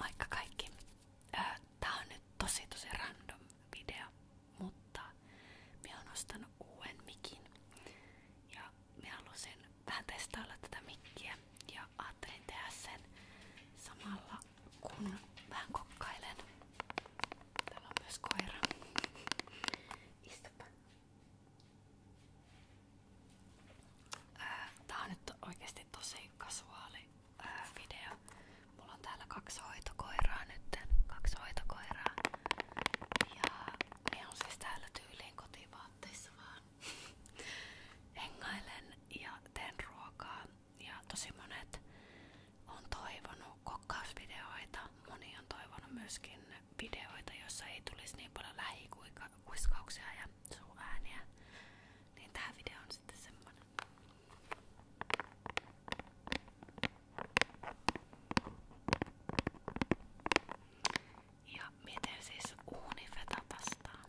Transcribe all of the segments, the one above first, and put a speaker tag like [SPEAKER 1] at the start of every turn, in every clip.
[SPEAKER 1] Moikka kaikki! Tää on nyt tosi tosi random video, mutta mä oon ostanut uuden mikin ja mä halusin vähän testailla tätä mikkiä ja ajattelin tehdä sen samalla kun vähän kokkailen. Täällä on myös koira. Istupa. Äh, tää on nyt tosi kasuaali ää, äh, video. Mulla on täällä kaksi hoitokoiraa nytten. Kaksi hoitokoiraa. Ja ne on siis täällä tyyliin kotivaatteissa vaan. ja teen ruokaa. Ja tosi on toivonut kokkausvideoita. Moni on toivonut myöskin videoita, joissa ei tulisi niin paljon lähikuiskauksia ja suuääniä. Niin tää video on sitten semmonen. Ja miten siis uuni vetää vastaan?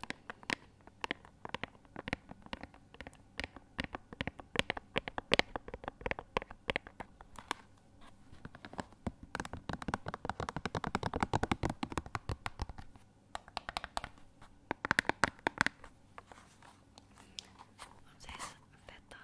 [SPEAKER 1] On siis feta.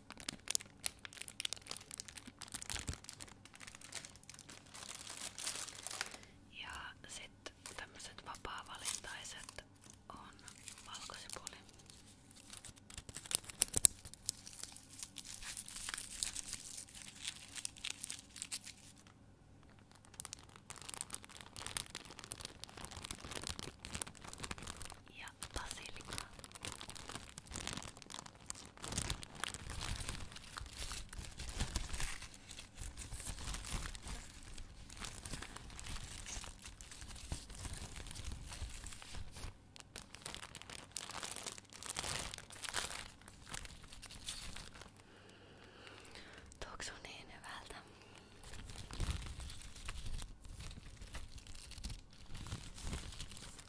[SPEAKER 1] Ja sitten tämmöiset vapaa-valintaiset on valkosipuli. Ja basilika. Tuoksuu niin hyvältä.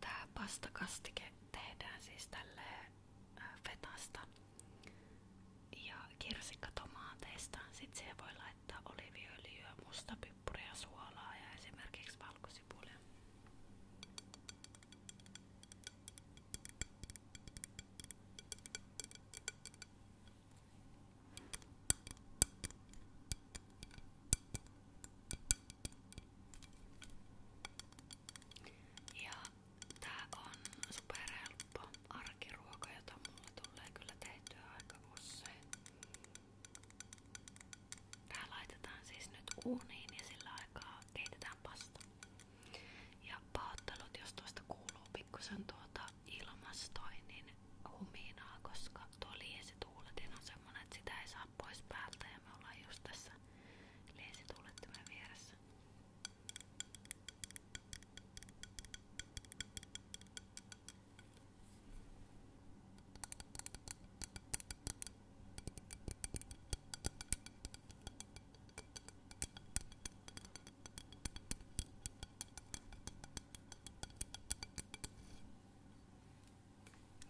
[SPEAKER 1] Tää kastike tehdään siis tälle äh, fetasta ja kirsikkatomaateista sit siihen voi laittaa oliiviöljyä, mustapippuria, suolaa ja esimerkiksi valkosipulia. Ja Tää on superhelppo arkiruoka, jota mulla tulee kyllä tehtyä aika usein. Tää laitetaan siis nyt uuniin ja sillä aikaa keitetään pasta. Ja pahoittelut, jos tuosta kuuluu pikkusen tuota ilmastoinnin huminaa, koska tuo liesituuletin niin on semmonen, että sitä ei saa pois päältä ja me ollaan just tässä liesituulettimen vieressä.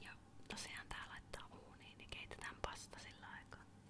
[SPEAKER 1] Ja tosiaan tää laittaa uuniin ja niin keitetään pasta sillä aikaa.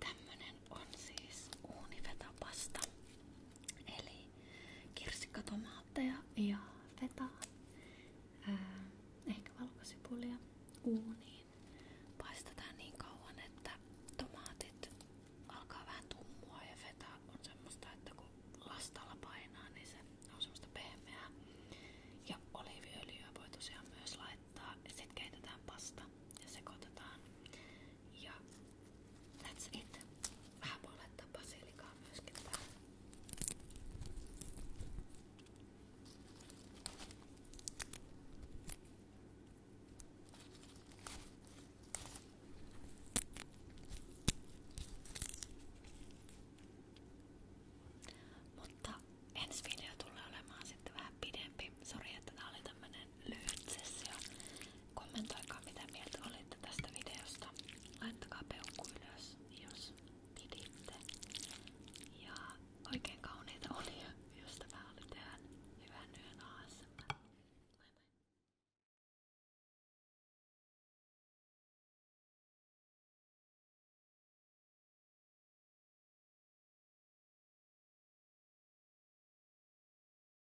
[SPEAKER 1] Tämmönen on siis uuniveta pasta. Eli kirsikkatomaatteja ja feta, ää, ehkä valkosipulia uuniin. Paistetaan niin kauan, että tomaatit alkaa tummua ja feta on semmoista, että kun lastalla painaa, niin se on semmoista pehmeää. Ja oliiviöljyä voi tosiaan myös laittaa sitten keitetään pasta ja sekoitetaan ja that's it. Vähän voi laittaa basilikaa myöskin päälle. Mutta ensi video tulee olemaan sitten vähän pidempi. Sori, että tää oli tämmönen tämmönen lyhyt sessio. Kommentoikaa mitä mieltä olitte tästä videosta. Laittakaa peukku ylös, jos piditte. Ja oikein kauniita olia, jos tämä oli teidän hyvän yön ASMR. Moi moi!